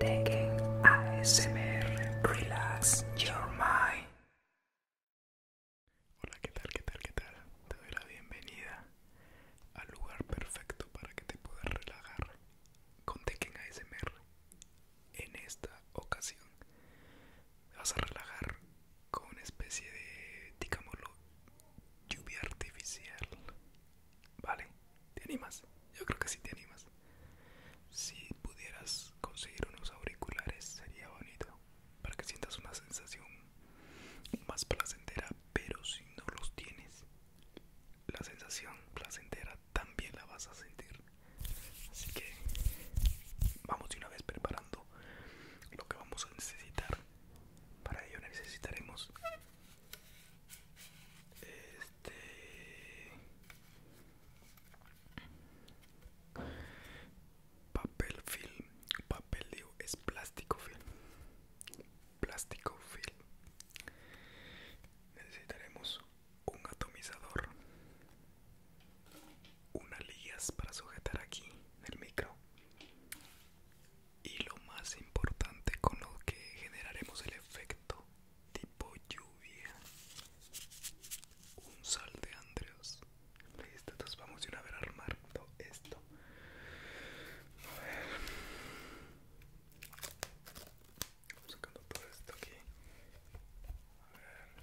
Tekken ASMR Relax Your Mind. Hola, ¿qué tal? ¿Qué tal? ¿Qué tal? Te doy la bienvenida al lugar perfecto para que te puedas relajar con Tekken ASMR. En esta ocasión vas a relajar con una especie de, digámoslo, lluvia artificial. ¿Vale? ¿Te animas? Yo creo que sí te animas. Si pudieras conseguir unos auriculares sería bonito para que sientas una sensación más placentera, pero si no los tienes, la sensación placentera también la vas a sentir. Así que vamos de una vez preparando lo que vamos a necesitar. Para ello necesitaremos este papel film, papel es plástico film. Plástico film. Necesitaremos un atomizador. Unas ligas para sujetar aquí el micro y lo más importante con lo que generaremos el efecto tipo lluvia un sal de andreos listo entonces vamos a una vez armando esto a ver vamos sacando todo esto aquí a ver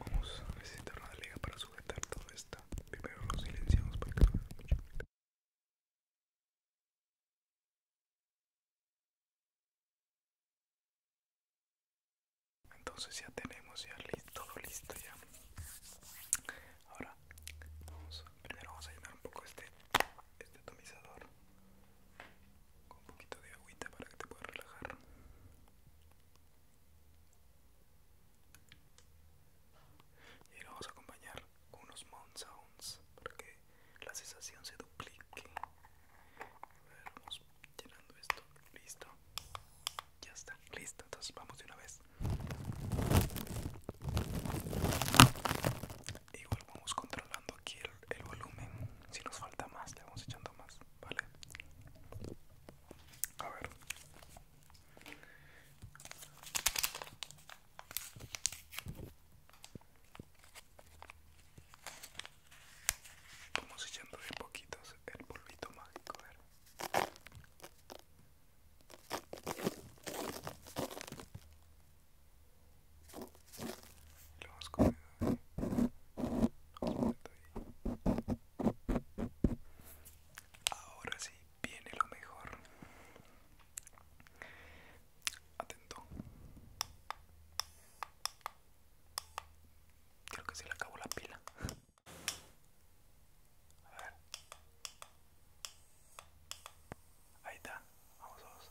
Vamos a necesitar una liga para sujetar todo esto. Primero lo silenciamos para que no se entonces ya tenemos ya listo, todo listo ya. Ahora primero vamos a llenar un poco este, este atomizador con un poquito de agüita para que te puedas relajar. Y lo vamos a acompañar con unos Mount Sounds para que la sensación se duplique. llenando esto. Listo. Ya está. Listo. Entonces vamos de una vez. Igual vamos controlando aquí el, volumen. Si nos falta más, le vamos echando más. Vale. A ver. Vamos echando de poquitos el polvito mágico, Lo Ahora sí viene lo mejor. Atento. Creo que se le acabó la pila. A ver. Ahí está. Vamos, a vamos.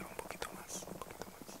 un poquito más, un poquito más.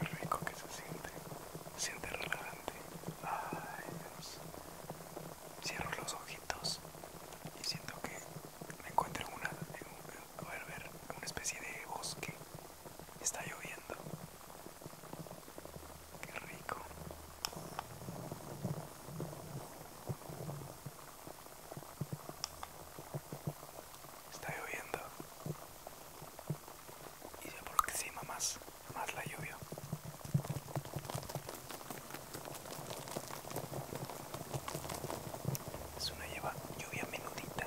Qué rico que se siente. se Siente relajante. Ay, Cierro los ojitos y siento que me encuentro en una, una especie de bosque. Está lloviendo. Que rico está lloviendo y se aproxima más, más la lluvia. Es una lleva, lluvia menudita.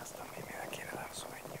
Hasta a mí me da quiere dar sueño.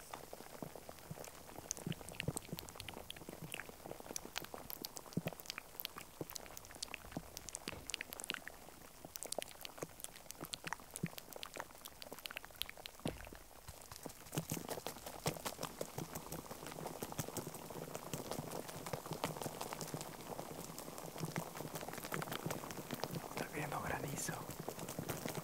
Está viendo granizo.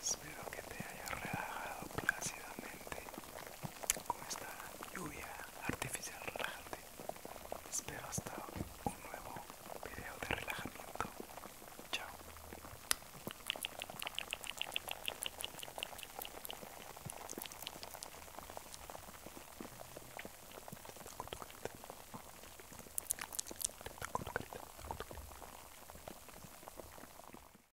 Espero que te haya relajado plácidamente con esta lluvia artificial relajante. Espero hasta un nuevo video de relajamiento. Chao.